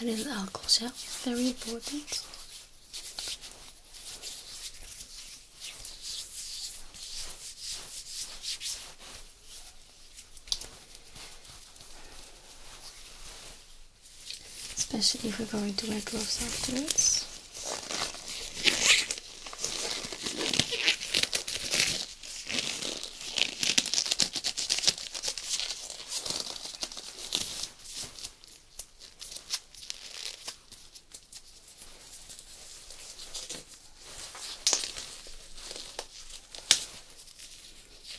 And in the alcohol gel, very important especially if we're going to wear gloves afterwards.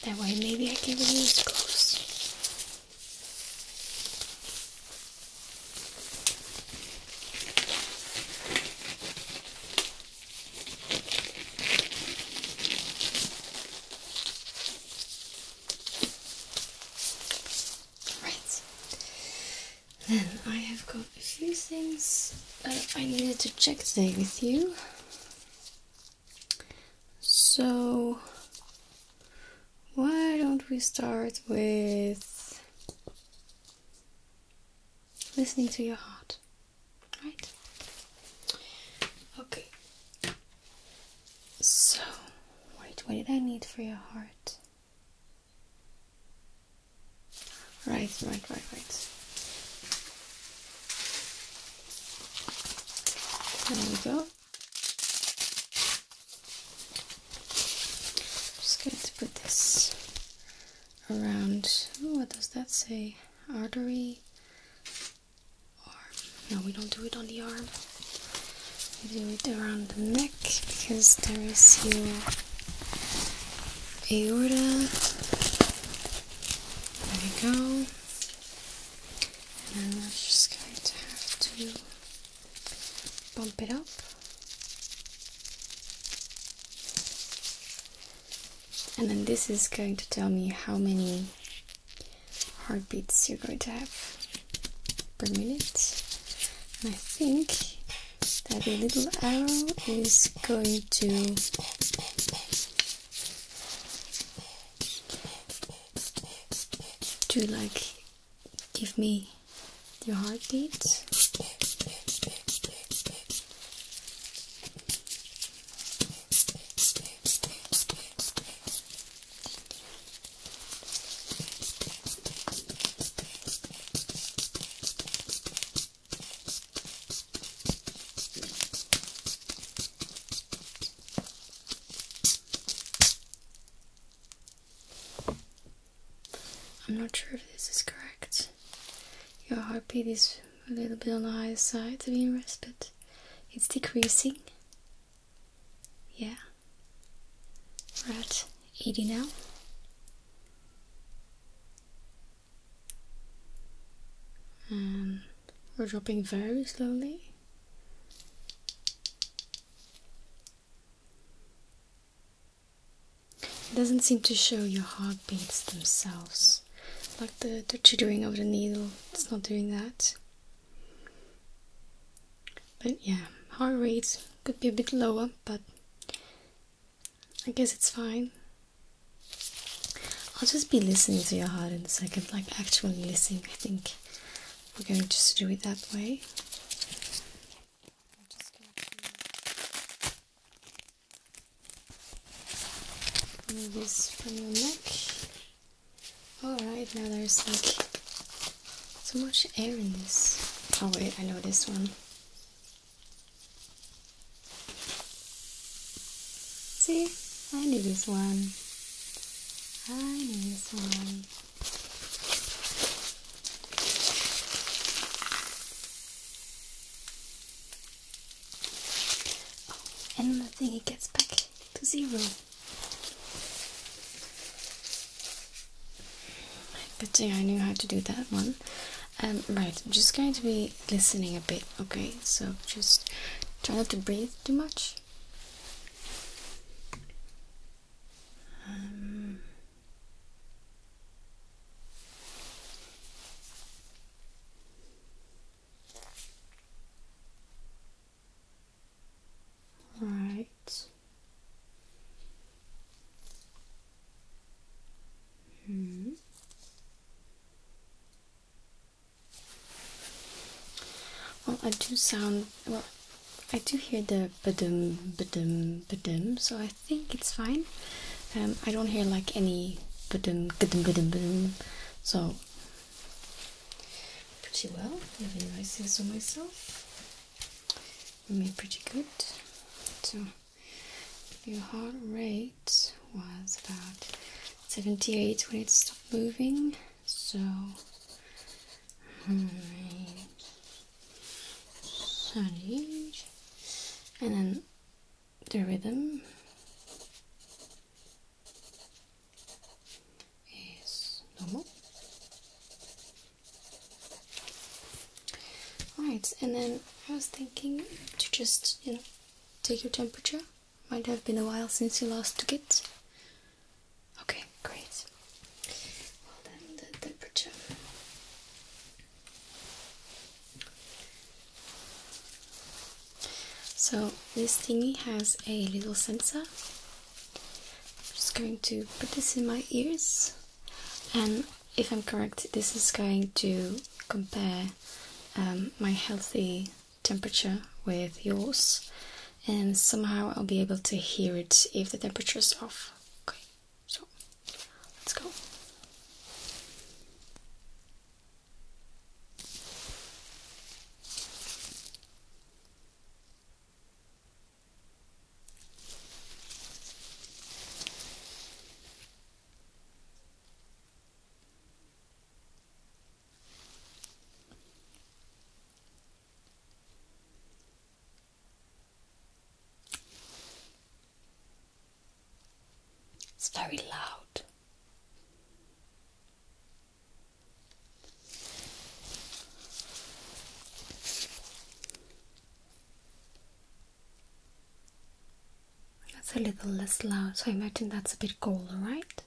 That way maybe I can use gloves. Right. Then I have got a few things uh, I needed to check today with you. So, why don't we start with listening to your heart? Right? Okay. So, wait, what did I need for your heart? Right, right, right, right. There we go. just going to put this around. Oh, what does that say? Artery. No, we don't do it on the arm. We do it around the neck because there is your aorta. There we go and I'm just going to have to bump it up. And then this is going to tell me how many heartbeats you're going to have per minute. I think that the little arrow is going to to like give me your heartbeat. I'm not sure if this is correct. Your heartbeat is a little bit on the higher side to be in it's decreasing. Yeah. We're at 80 now and we're dropping very slowly it doesn't seem to show your heartbeats themselves like the, the chittering of the needle it's not doing that but yeah heart rates could be a bit lower but I guess it's fine I'll just be listening to your heart in a second, like actually listening. I think we're going to just do it that way. Remove from your neck. Alright, now there's like too much air in this. Oh wait, I know this one. See, I need this one. I need this one. Oh, and the thing, it gets back to zero. Good thing I knew how to do that one. Um, right, I'm just going to be Listening a bit, okay? So just try not to breathe too much. Um, -hmm. Well, I do sound well. I do hear the badum, badum, badum, so I think it's fine. Um, I don't hear like any badum, badum, badum, badum, so pretty well. Living I say so myself. I mean, pretty good. So, if you heart rate it was about 78 when it stopped moving, so hmm, 78, and then the rhythm is normal. Right, and then I was thinking to just, you know, take your temperature might have been a while since you last took it. Okay, great. Well, then the temperature. So, this thingy has a little sensor. I'm just going to put this in my ears, and if I'm correct, this is going to compare um, my healthy temperature with yours and somehow I'll be able to hear it if the temperature is off. Okay, so let's go. It's very loud. That's a little less loud, so I imagine that's a bit colder, right?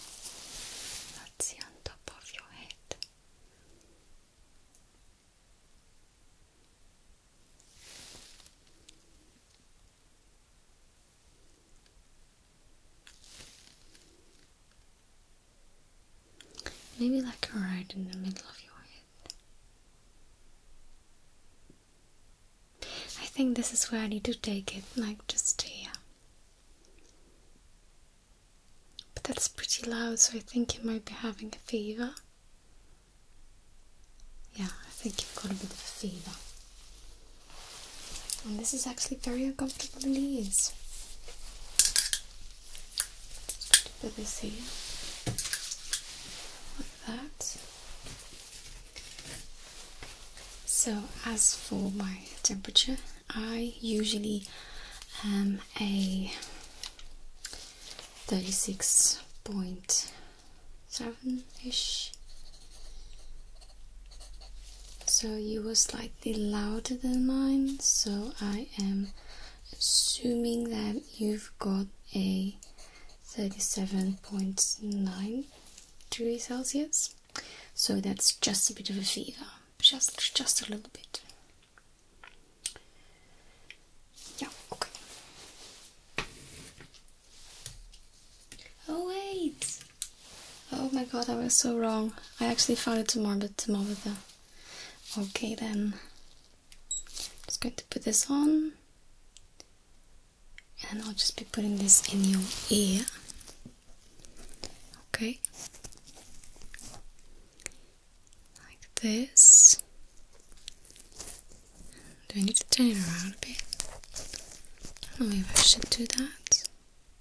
let on top of your head. Maybe like a ride in the middle of your head. I think this is where I need to take it, like just here. But that's pretty loud, so I think you might be having a fever. Yeah, I think you've got a bit of a fever. And this is actually very uncomfortable in the ears. Just put that. So, as for my temperature, I usually am a 36.7 ish. So you were slightly louder than mine, so I am assuming that you've got a 37.9 degrees Celsius. So that's just a bit of a fever, just just a little bit. Yeah, okay. Oh wait, Oh my god, I was so wrong. I actually found it tomorrow, but tomorrow the... Okay then. Just going to put this on. And I'll just be putting this in your ear. Okay. Like this. Do I need to turn it around a bit? I don't I should do that.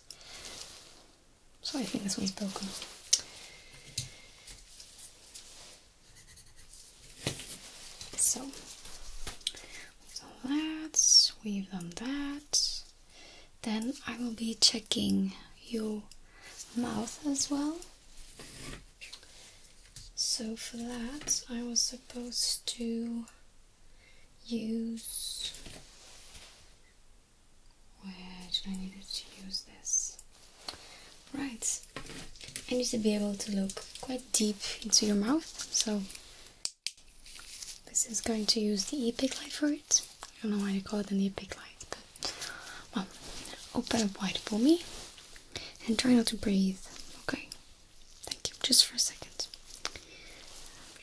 ones. So I think this one's broken. So we've we've done that. Then I will be checking your mouth as well. So for that, I was supposed to use where I needed to use this? Right. I need to be able to look quite deep into your mouth, so this is going to use the epic light for it. I don't know why they call it the epic light, but well, open up wide for me and try not to breathe. Okay. Thank you. Just for a second.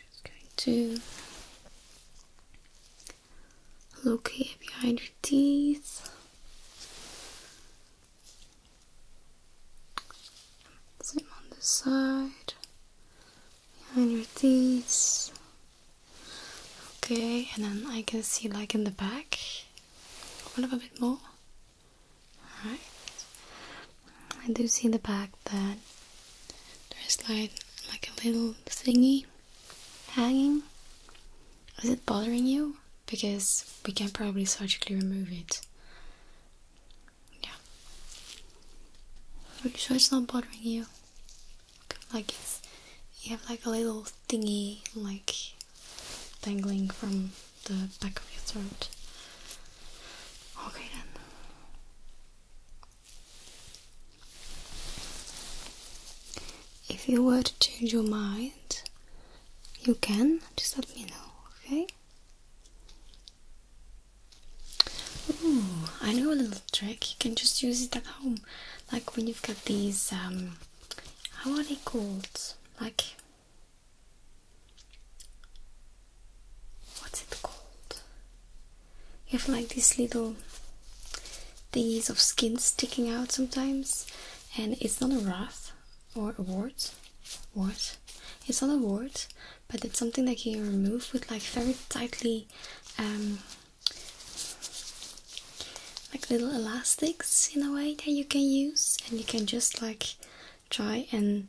It's going to locate here behind your teeth. Same on the side, behind your teeth. Okay, and then I can see like in the back. One of a bit more. Alright. I do see the back that there's like a little thingy hanging. Is it bothering you? Because we can probably surgically remove it. Yeah. Are you sure it's not bothering you? Like it's you have like a little thingy like dangling from the back of your throat. Okay then. If you were to change your mind, you can just let me know, okay? Ooh, I know a little trick. You can just use it at home, like when you've got these um, how are they called? Like what's it called? You have like these little things of skin sticking out sometimes, and it's not a wrath or a wart. Wart? It's not a wart, but it's something that you can remove with like very tightly, um, like little elastics in a way that you can use, and you can just like try and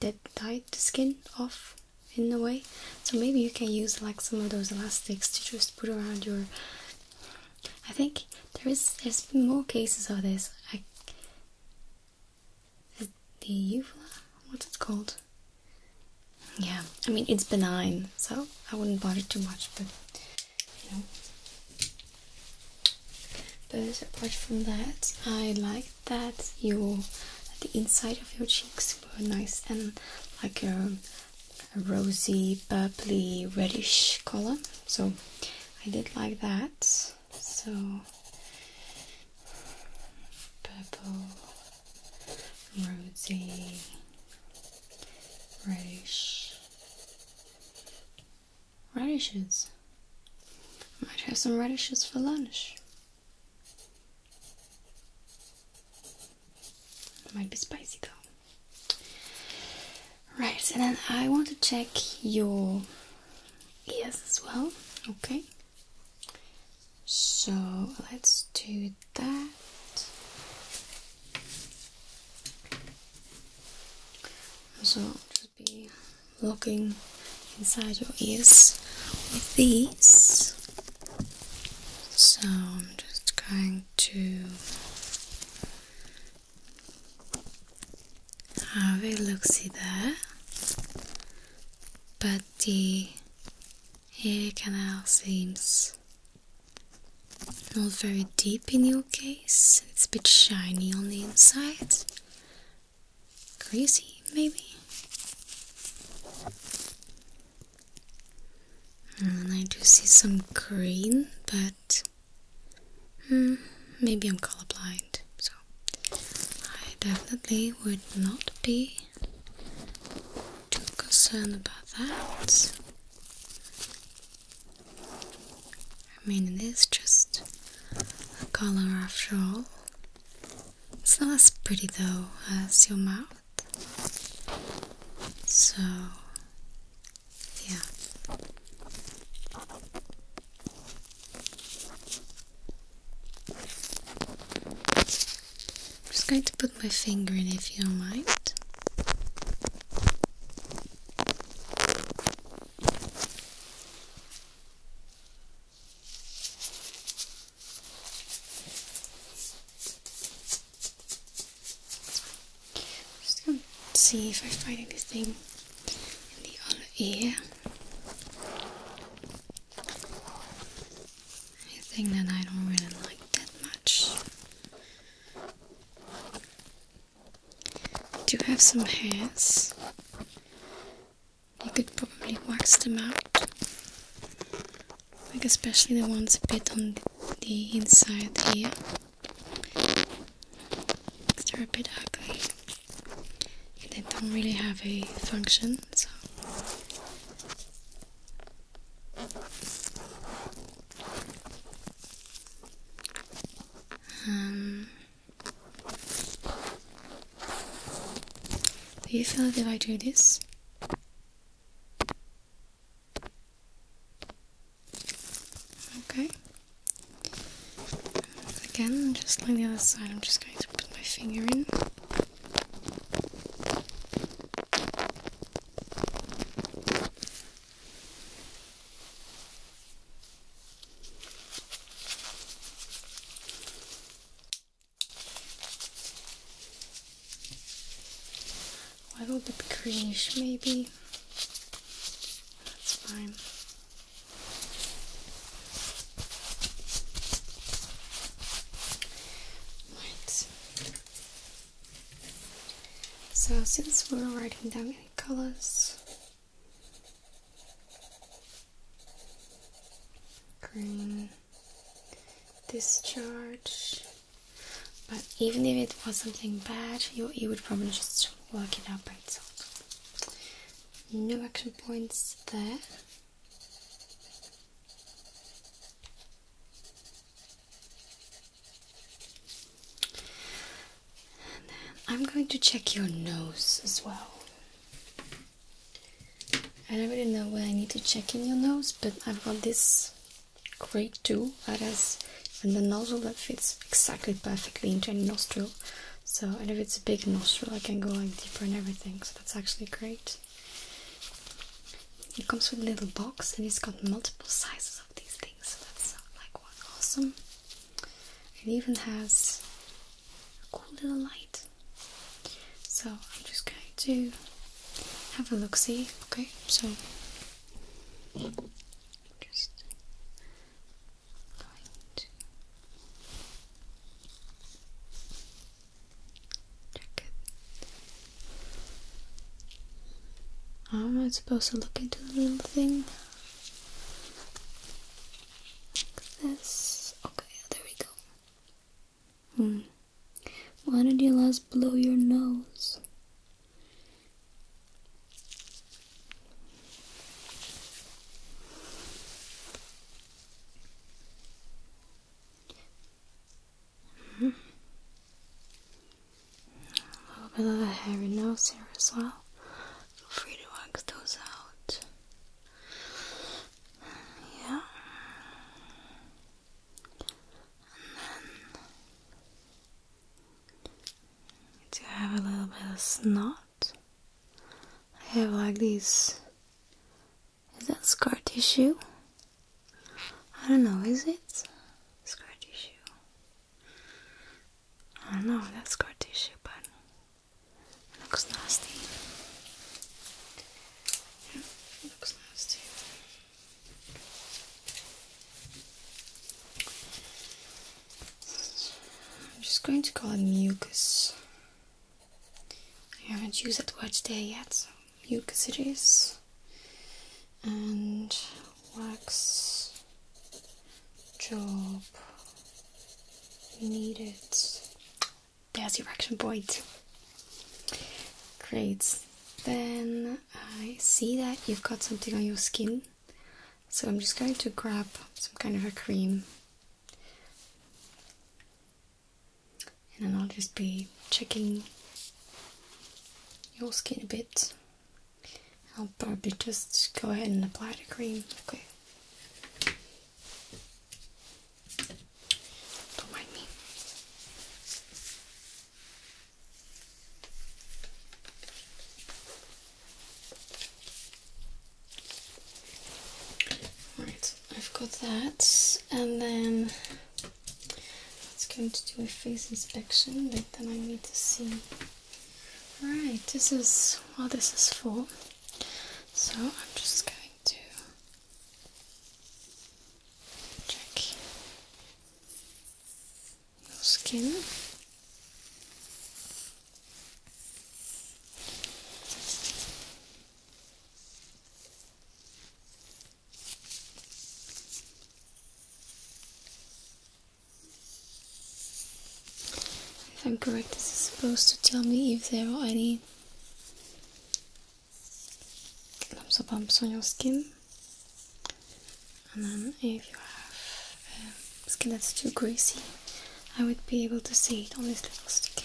that tight the skin off in a way so maybe you can use like some of those elastics to just put around your i think there is there's been more cases of this I, the, the what's it called yeah i mean it's benign so i wouldn't bother too much but you know but apart from that i like that your the inside of your cheeks were nice and like a, rosy, bubbly, reddish color. So I did like that. So purple, rosy, reddish. Radishes. might have some radishes for lunch. might be spicy though. Right, and then I want to check your ears as well. Okay. So let's do that. So be looking inside your ears with these. So I'm just going to have a look see there. But the ear canal seems not very deep in your case, it's a bit shiny on the inside. Crazy, maybe? Mm, I do see some green, but hmm, maybe I'm colorblind, so I definitely would not be too concerned about that. I mean, it is just a color after all. It's not as pretty though as your mouth. So, yeah. just going to put my finger in if you don't mind just going to see if I find anything in the other ear. Anything that I don't really like that much. I do have some hairs you could probably wax them out like especially the ones a bit on the inside here they're a bit ugly they don't really have a function so um, do you feel if I do this? Okay. Again, just like the other side, I'm just going to put my finger in. A little bit maybe. That's fine. Right. So, since we're writing down any colors, green discharge but even if it was something bad you, you would probably just work it out by itself no action points there I'm going to check your nose as well. I don't really know what I need to check in your nose, but I've got this great tool that has and the nozzle that fits exactly perfectly into any nostril. So, and if it's a big nostril, I can go like deeper and everything. So that's actually great. It comes with a little box, and it's got multiple sizes of these things. So that's like awesome. It even has a cool little light. So I'm just going to have a look see, okay? So just going to check it. Oh, I'm not supposed to look into the little thing this. Okay, there we go. Hmm. Why did you last blow your nose? Hmm. A little bit of a hairy nose here as well free to wax those out. Yeah. And then do have a little bit of snot? I have like these. Is that scar tissue? I don't know, is it? Scar tissue. I don't know that's scar tissue, but Looks nasty. Yeah, looks nasty. I'm just going to call it mucus. I haven't used that word today yet, so mucus it is. And wax job you need it there's your action point great then I see that you've got something on your skin so I'm just going to grab some kind of a cream and then I'll just be checking your skin a bit I'll probably just go ahead and apply the cream. Okay. Don't mind me. Alright, I've got that, and then it's going to do a face inspection, but then I need to see Alright, this is what this is for. So I'm just going to check your skin. If I'm correct, this is supposed to tell me if there are any lumps or bumps on your skin. And then if you have um, skin that's too greasy, I would be able to see it on this little stick here.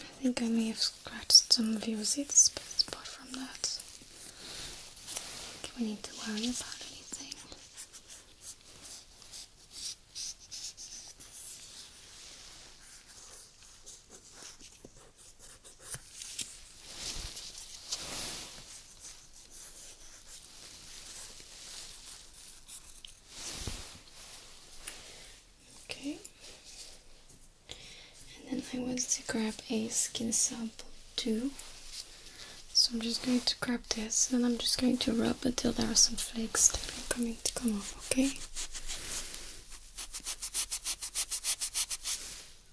I think I may have scratched some of your zits, but apart from that, I we need to worry about anything. Okay, and then I want to grab a skin sample too. So I'm just going to grab this and I'm just going to rub until there are some flakes coming to come off, okay?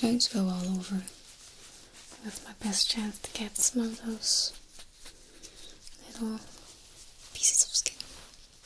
I'm just going to go all over That's my best chance to get some of those little pieces of skin.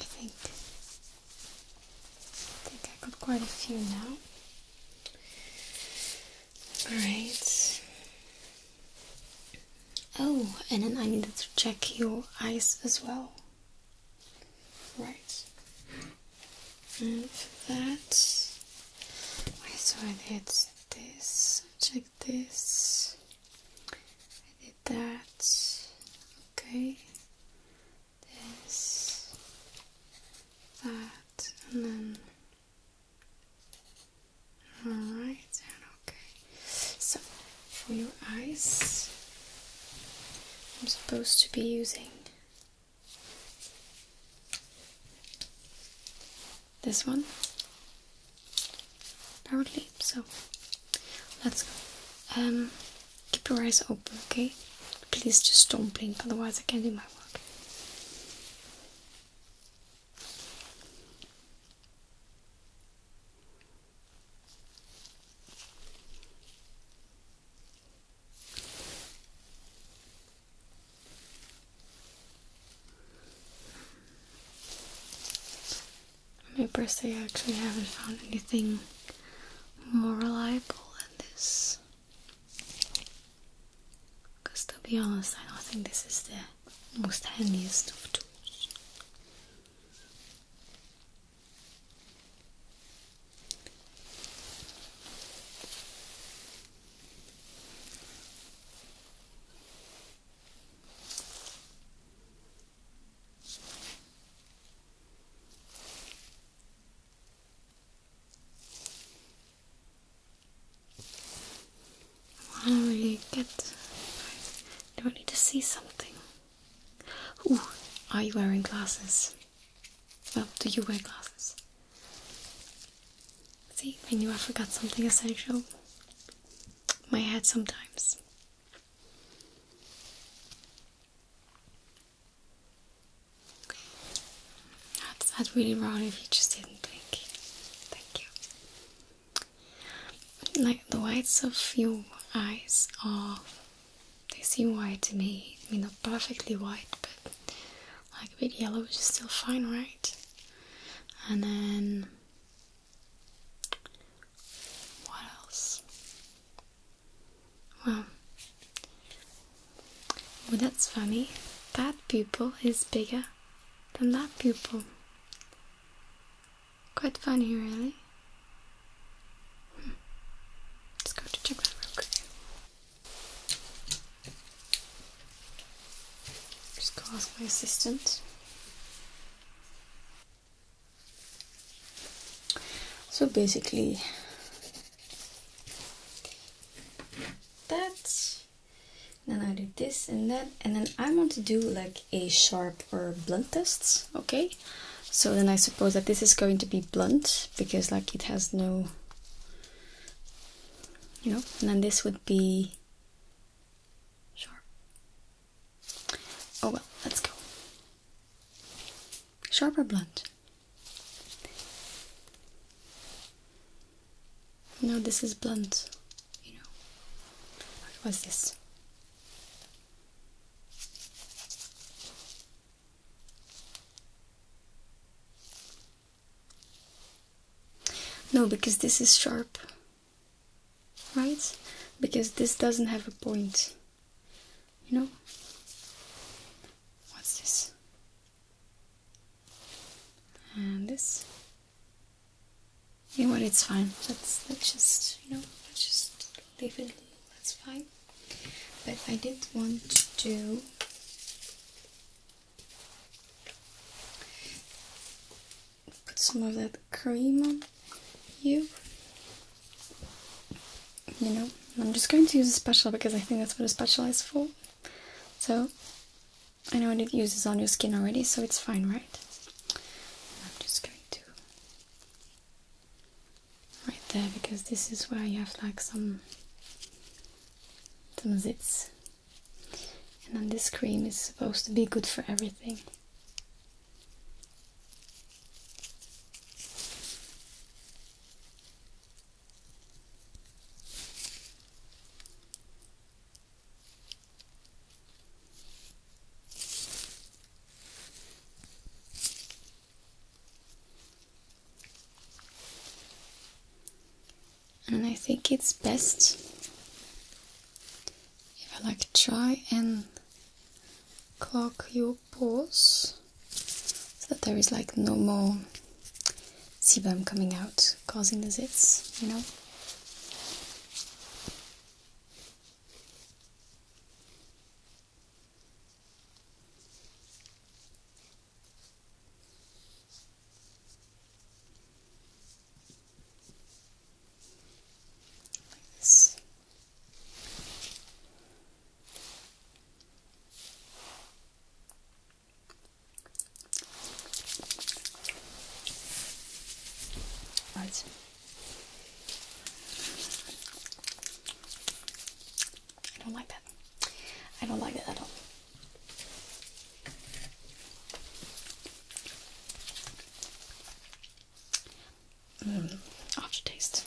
I think I think got quite a few now. Alright. Oh, and then I needed to check your eyes as well. Right. And for that, okay, so I did this, check this, that's Okay. This, that, and then. Alright, and okay. So, for your eyes, I'm supposed to be using this one apparently. So let's um, keep your eyes open, okay? Please just don't blink, otherwise I can't do my work my birthday, I actually haven't found anything more reliable than this. Because to be honest, I don't think this is the most handiest of tools. I really get I don't need to see something. are you wearing glasses? Well, do you wear glasses? See, I knew I forgot something essential. My head sometimes. That's, that's really wrong if you just didn't think. Thank you. Like the whites of your eyes are they seem white to me. I mean not perfectly white but like a bit yellow which is still fine, right? And then what else? Well, that's funny. That pupil is bigger than that pupil. Quite funny, really. Let's hmm. go to check that real quick. Just go ask my assistant so basically that then I do this and that and then I want to do like a sharp or blunt tests, okay so then I suppose that this is going to be blunt because like it has no you know and then this would be sharp Oh well, let's go. Sharp or blunt? No, this is blunt. You know. What was this? No, because this is sharp right? Because this doesn't have a point. You know? What's this? And this. You know what? It's fine. Let's let's just you know let's just leave it. That's fine. But I did want to put some of that cream on you. You know, I'm just going to use a special because I think that's what a special is for. So, I know it uses on your skin already, so it's fine, right? I'm just going to right there because this is where you have like some some zits. And then this cream is supposed to be good for everything. And I think it's best if I like try and clock your pores so that there is like no more sebum coming out causing the zits, you know this. Right. I don't like that. I don't like that at all. Mm, aftertaste.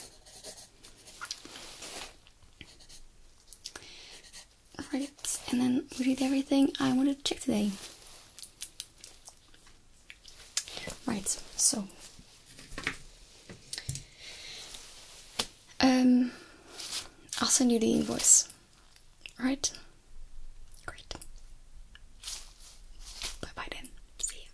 Right, and then we did everything I wanted to check today. Right, so um, I'll send you the invoice Alright? Great. Bye bye then. See you.